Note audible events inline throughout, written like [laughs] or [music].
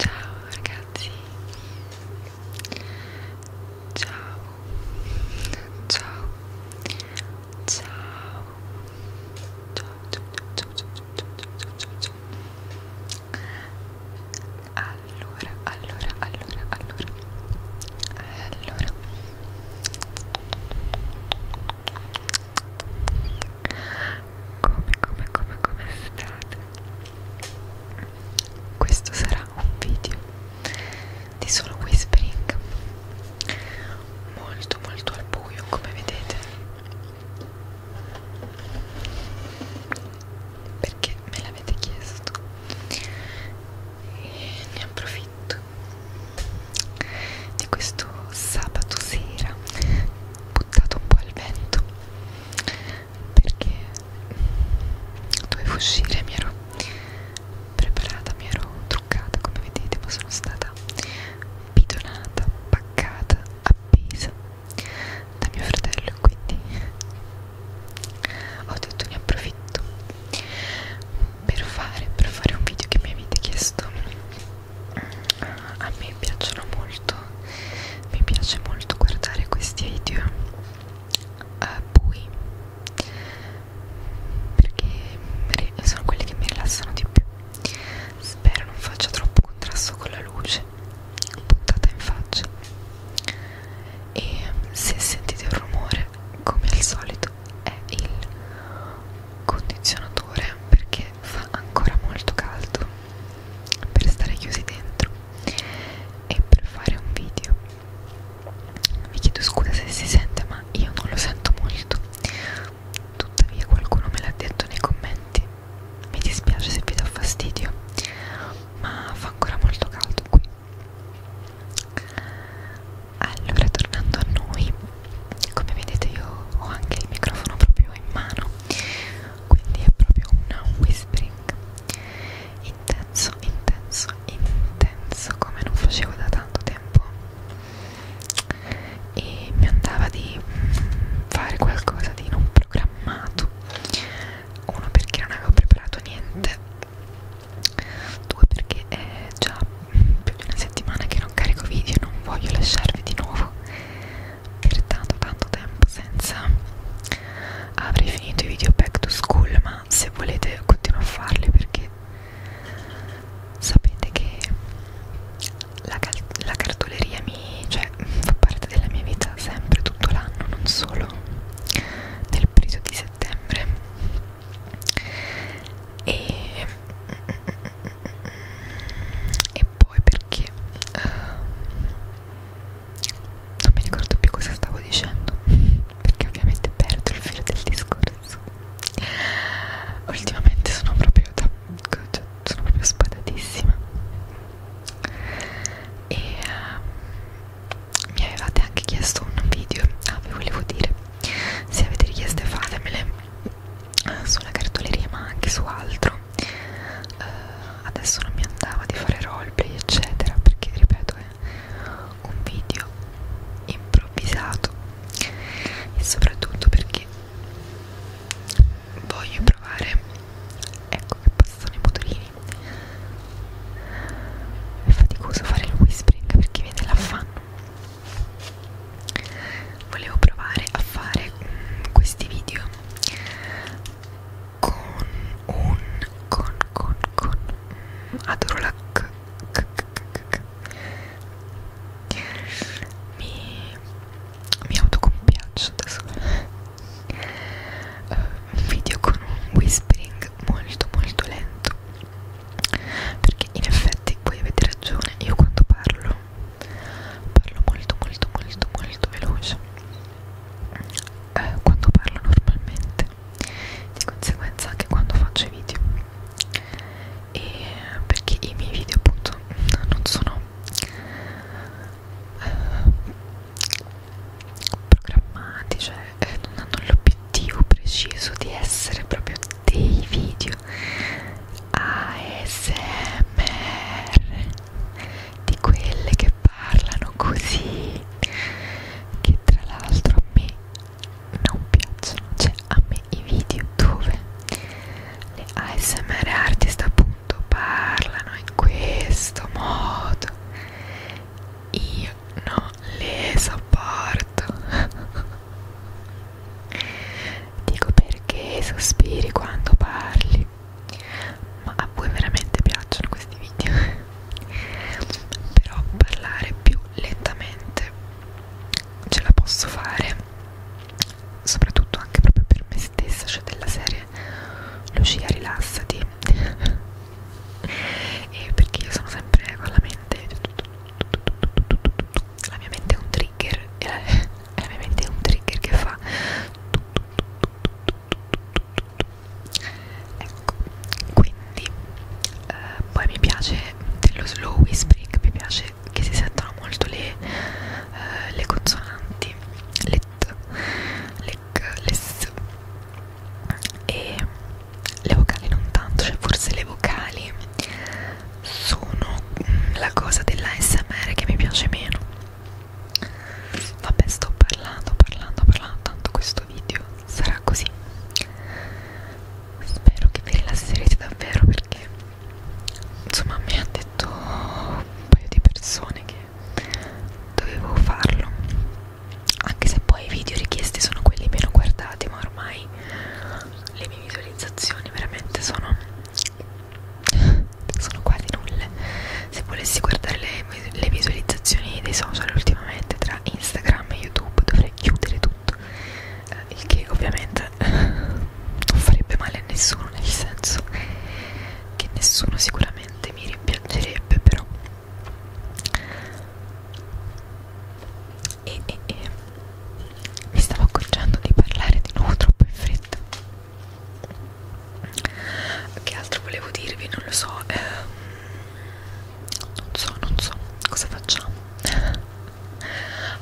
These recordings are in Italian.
Ciao ragazzi, ciao, ciao, ciao, ciao, ciao, ciao, ciao, ciao, ciao, ciao, ciao. Allora, allora, allora, allora, allora come come come come state questo sarà un video di solo whispering molto molto al buio come vedete perché me l'avete chiesto e ne approfitto profitto di questo sabato sera buttato un po' al vento perché dovevo uscire mi ero preparata mi ero truccata come vedete ma sono stata bidonata paccata appesa da mio fratello quindi ho detto ne approfitto per fare per fare un video che mi avete chiesto a me piacciono molto mi piace molto guardare questi video a eh, voi perché sono quelli che mi rilassano di più spero non faccia troppo contrasto con la luce puntata in faccia e se sentite un rumore come al solito è il condizionatore perché fa ancora molto caldo per stare chiusi dentro e per fare un video vi chiedo scusa se si sente ma io non lo sento molto tuttavia qualcuno me l'ha detto nei commenti mi dispiace se vi do fastidio ma fa ancora molto caldo qui allora tornando a noi come vedete io ho anche il microfono proprio in mano quindi è proprio un whispering intenso intenso intenso come non facevo da tanto tempo e mi andava di mm, fare qualcosa di non programmato uno perché non avevo preparato niente due perché è già più di una settimana che non carico video e non voglio lasciarvi di nuovo per tanto tanto tempo senza avrei finito i video back to school ma se volete continuo a farli perché sapete che la, la cartoleria mi cioè fa parte della mia vita sempre tutto l'anno non solo nel periodo di settembre e, e poi perché uh, non mi ricordo più cosa stavo dicendo perché ovviamente perdo il filo del discorso ultimamente sono proprio da, cioè, sono proprio spadatissima e uh, mi avevate anche chiesto un video ah vi volevo dire se avete richieste fatemele eh, sulla cartoleria ma anche su altro uh, adesso non mi andava di fare roleplay eccetera perché ripeto è un video improvvisato e soprattutto perché voglio provare ecco che passano i motorini è faticoso fare il whispering perché viene l'affanno. Volevo provare a fare questi video con un con con con adoro la c, c, c, c, c. mi mi autocompiaccio adesso uh, eh, video con un whispering molto molto lento perché in effetti voi avete ragione io quando parlo parlo molto molto molto molto veloce eh, quando parlo normalmente di conseguenza anche quando faccio i video e perché i miei video appunto non sono eh, programmati, cioè eh, non hanno l'obiettivo preciso di essere proprio dei video ASMR di quelle che parlano così che tra l'altro a me non piacciono cioè a me i video dove le ASMR artist appunto parlano in questo modo io non Lesaport Dico perché sospiri quando parli Ma a voi veramente piacciono questi video Però parlare più lentamente ce la posso fare Soprattutto anche proprio per me stessa Cioè della serie Lucia rilassati così [laughs] e perché io sono sempre con la mente la mia mente è un trigger e la, la mia mente è un trigger che fa ecco quindi eh, poi mi piace dello slow whispering mi piace che si sentono molto le, eh, le consonanti le t, le legless e le vocali non tanto, cioè forse le vocali sono mm, la cosa dell'ASMR che mi piace meno vabbè sto parlando, parlando, parlando tanto questo video sarà così spero che vi rilasserete davvero perché insomma mi ha detto un paio di persone che dovevo farlo anche se poi i video richiesti sono quelli meno guardati ma ormai le mie visualizzazioni veramente sono sono quasi nulle se volessi guardare le, le visualizzazioni dei social ultimamente tra Instagram e YouTube dovrei chiudere tutto eh, il che ovviamente [laughs] non farebbe male a nessuno nel senso che nessuno sicuramente mi rimpiangerebbe però e, e, e mi stavo accorgendo di parlare di nuovo troppo in fretta che altro volevo dirvi non lo so eh, non so non so cosa facciamo a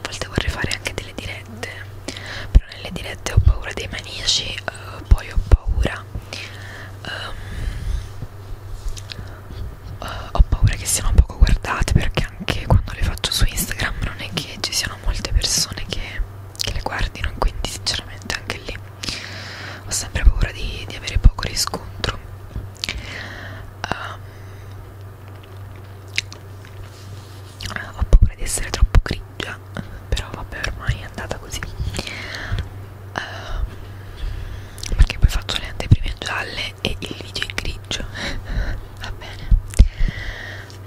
volte vorrei fare anche delle dirette però nelle dirette ho paura dei maniaci eh, poi ho paura um, uh, ho paura che siano poco guardate perché anche quando le faccio su Instagram non è che ci siano molte persone che, che le guardino quindi sinceramente anche lì ho sempre paura di, di avere poco riscontro um, ho paura di essere troppo grigio grigia però vabbè ormai è andata così uh, perché poi faccio le anteprime gialle e il video in grigio [laughs] va bene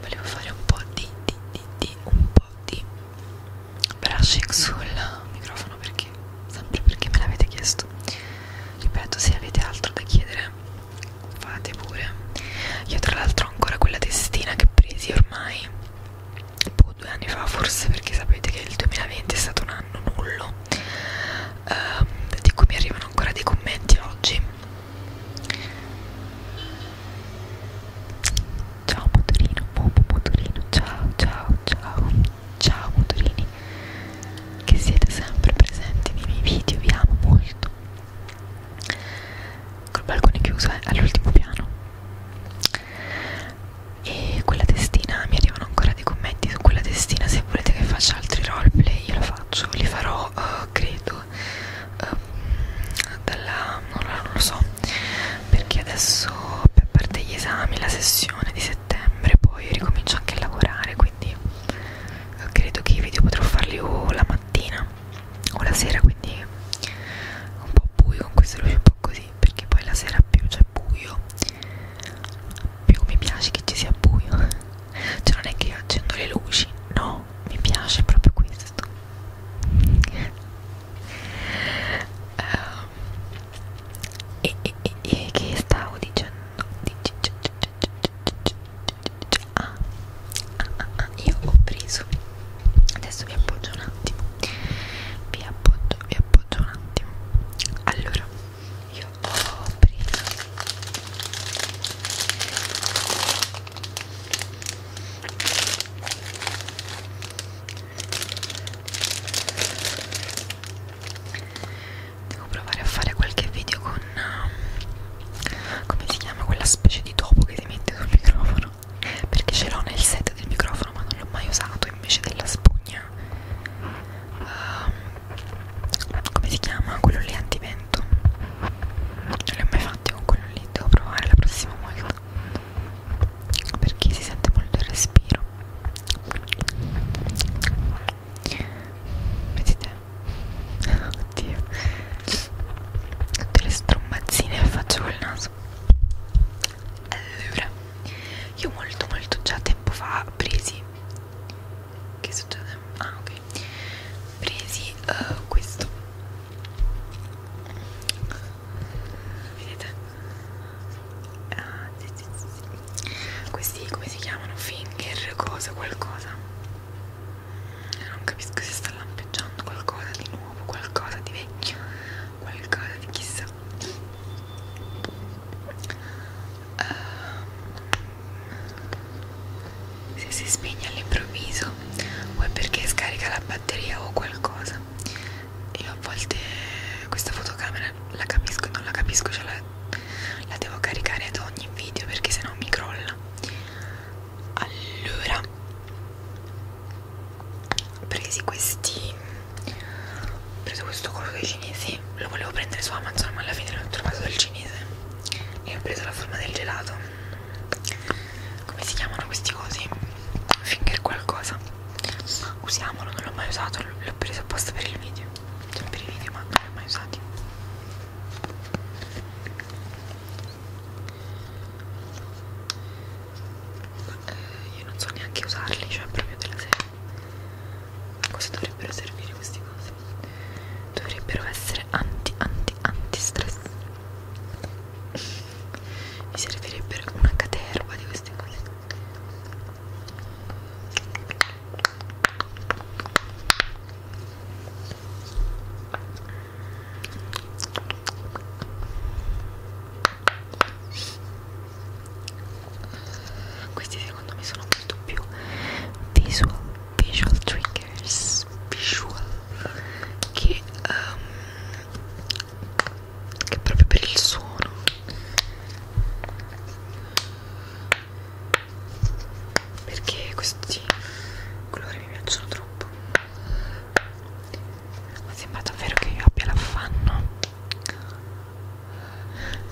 volevo fare un po' di, di, di, di un po' di brushing sul microfono perché sempre perché me l'avete chiesto ripeto se avete altro da chiedere fate pure io tra l'altro ho ancora quella testina che presi ormai boh, due anni fa forse perché sapete che il 2020 è stato un anno nullo eh, di cui mi arrivano ancora dei commenti oggi ciao motorino mopo motorino ciao ciao ciao ciao motorini che siete sempre presenti nei miei video vi amo molto col balcone chiuso eh, all'ultimo piano e quella testina mi arrivano ancora dei commenti su quella testina se volete che faccia altri roleplay io lo faccio li farò uh, credo uh, dalla non, non lo so perché adesso a parte gli esami la sessione di settembre poi ricomincio anche a lavorare quindi eh, credo che i video potrò farli o la mattina o la sera quindi un po' buio con queste luci un po' così perché poi la sera più c'è buio più mi piace che ci sia buio cioè non è che accendo le luci no mi piace proprio questo um, e, e, e, e che stavo dicendo dic, dic, dic, dic, dic, dic, dic, dic, ah ah, ah, ah, io ho preso adesso vi appoggio un attimo vi appoggio vi appoggio un attimo allora io ho preso devo provare a fare qualche video con um, come si chiama quella specie di topo che si mette sul microfono perché ce l'ho nel set del microfono ma non l'ho mai usato invece della spugna uh, come si chiama? quello lì antivento non li ho mai fatti con quello lì devo provare la prossima volta perché si sente molto il respiro vedete? [laughs] oddio tutte le strombazzine le faccio col naso allora io molto molto già tempo fa presi che succede? ah ok presi uh, questo vedete? Ah, sì, sì, sì. questi come si chiamano? finger cosa qualcosa io non capisco se sta lampeggiando qualcosa di nuovo, qualcosa di vecchio, qualcosa di chissà. Uh, se si spegne all'improvviso o è perché scarica la batteria o qualcosa. Io a volte questa fotocamera la capisco e non la capisco, cioè la, la devo caricare ad ogni video perché sennò mi crolla allora presi questi ho preso questo coso dei cinesi lo volevo prendere su Amazon ma alla fine l'ho trovato dal cinese e ho preso la forma del gelato come si chiamano questi cosi? finger qualcosa usiamolo non l'ho mai usato l'ho preso apposta per il video cioè per i video ma non li ho mai usati ma, eh, io non so neanche usarli, cioè proprio della serie. A cosa dovrebbero servire queste cose? Dovrebbero essere anti, anti, anti stress. [laughs] Mi servirebbe una caterva di queste cose. Questi secondo me sono molto più visual, visual triggers, visual che, um, che proprio per il suono perché questi colori mi piacciono troppo ma sembra davvero che io abbia l'affanno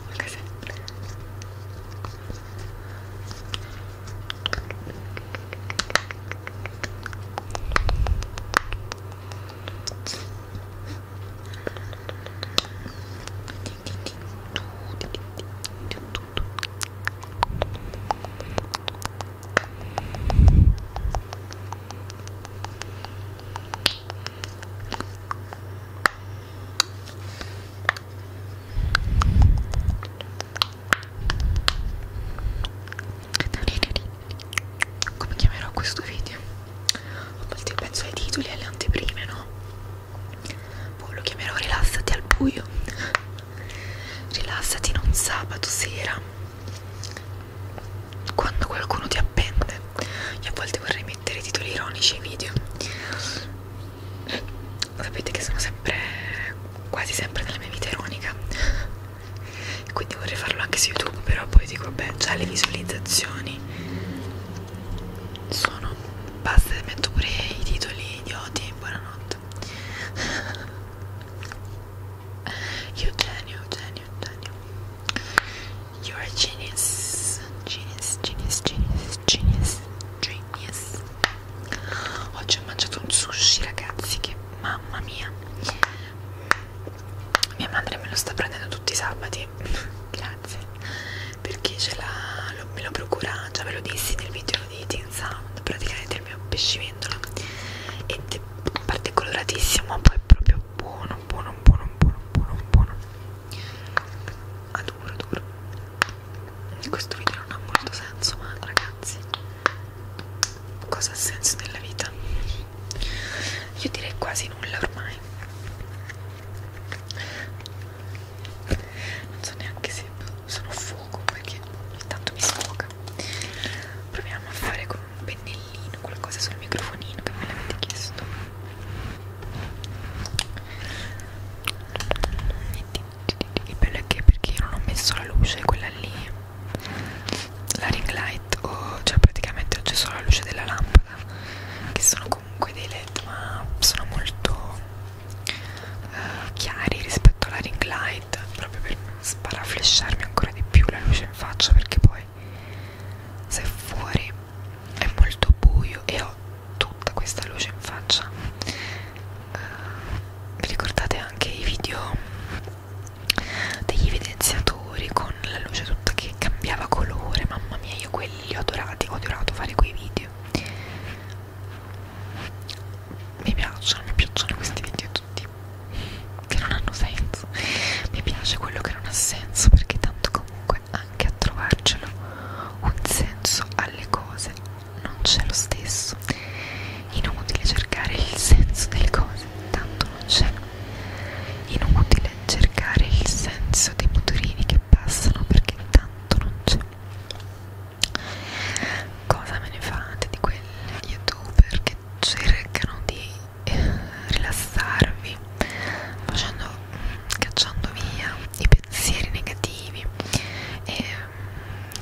anche sempre come chiamerò questo video? Ho molti pezzo ai titoli e alle anteprime, no? Poi boh, lo chiamerò rilassati al buio. Rilassati in un sabato sera. Quando qualcuno ti appende. Io a volte vorrei mettere titoli ironici ai video. Sapete che sono sempre, quasi sempre nella mia vita ironica. Quindi vorrei farlo anche su YouTube, però poi dico, beh, già le visualizzazioni sono basta metto pure i titoli idioti e buonanotte [laughs] Eugenio, Eugenio, Eugenio You're a genius Genius, genius, genius, genius, genius Oggi ho mangiato un sushi ragazzi che mamma mia Mia madre me lo sta prendendo tutti i sabati [laughs] Grazie perché ce l'ha, me lo procura, già ve lo dissi nel video di Teen Sound, praticamente il mio pescivendolo ed è in parte coloratissimo, ma poi è proprio buono, buono, buono, buono, buono, buono. Ah, duro, duro. Questo video non ha molto senso, ma ragazzi, cosa ha senso nella vita? Io direi quasi nulla ormai non so neanche se sono fuoco perché ogni tanto mi sfoga proviamo a fare con un pennellino qualcosa sul microfonino che me l'avete chiesto il bello è che perché io non ho messo la luce quella lì la ring light o cioè praticamente c'è solo la luce della lampada che sono comunque dei led ma sono molto eh, chiari rispetto alla ring light proprio per sparaflesciarmi ancora di più la luce in faccia perché poi se fuori è molto buio e ho tutta questa luce in faccia eh, vi ricordate anche i video degli evidenziatori con la luce tutta che cambiava colore mamma mia io quelli li ho adorati ho adorato fare quei video perché mi piacciono, mi piacciono questi video tutti che non hanno senso mi piace quello che non ha senso perché tanto comunque anche a trovarcelo un senso alle cose non c'è lo stesso inutile cercare il senso delle cose tanto non c'è inutile cercare il senso dei motorini che passano perché tanto tanto non c'è cosa me ne fate di quelle youtuber che cercano di eh, rilassarvi facendo cacciando via i pensieri negativi e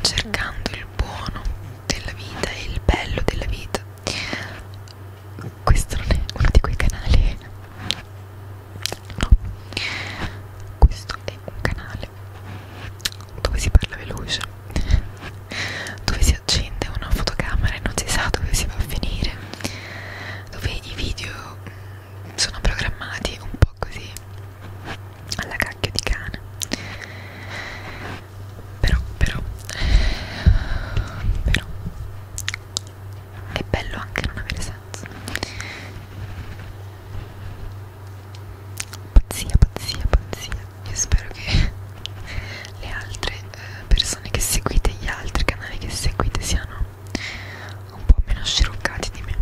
cercando il buono della vita e il bello della vita questo non è uno di quei canali no questo è un canale dove si parla veloce dove si accende una fotocamera e non si sa dove si va a finire dove i video mm, sono programmati un po' così alla cacchio di cane però però però è bello anche non avere senso pazzia pazzia pazzia io spero che [laughs] le altre eh, persone che seguite gli altri canali che seguite siano un po' meno sciroccati di me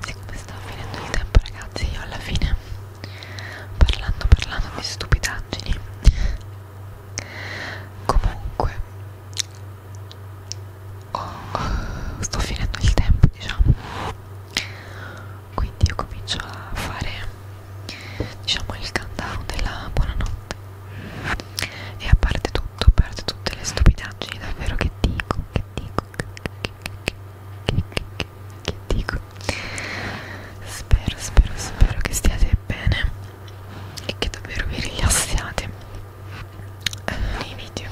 Siccome sta finendo il tempo ragazzi io alla fine parlando parlando di stupidaggini comunque oh, oh, sto finendo il tempo diciamo quindi io comincio a fare diciamo il countdown della buonanotte e a parte tutto a parte tutte le stupidaggini davvero che dico che dico che dico spero spero spero che stiate bene e che davvero vi rilassiate nei video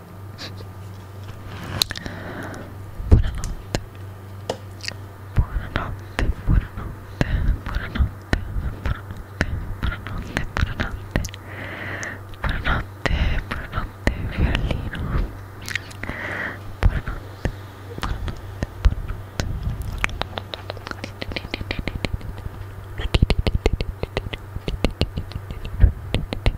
Buonanotte. Buonanotte, buonanotte, buonanotte, buonanotte, buonanotte, buonanotte. Buonanotte, buonanotte, fiorellino. Buonanotte, buonanotte, buonanotte.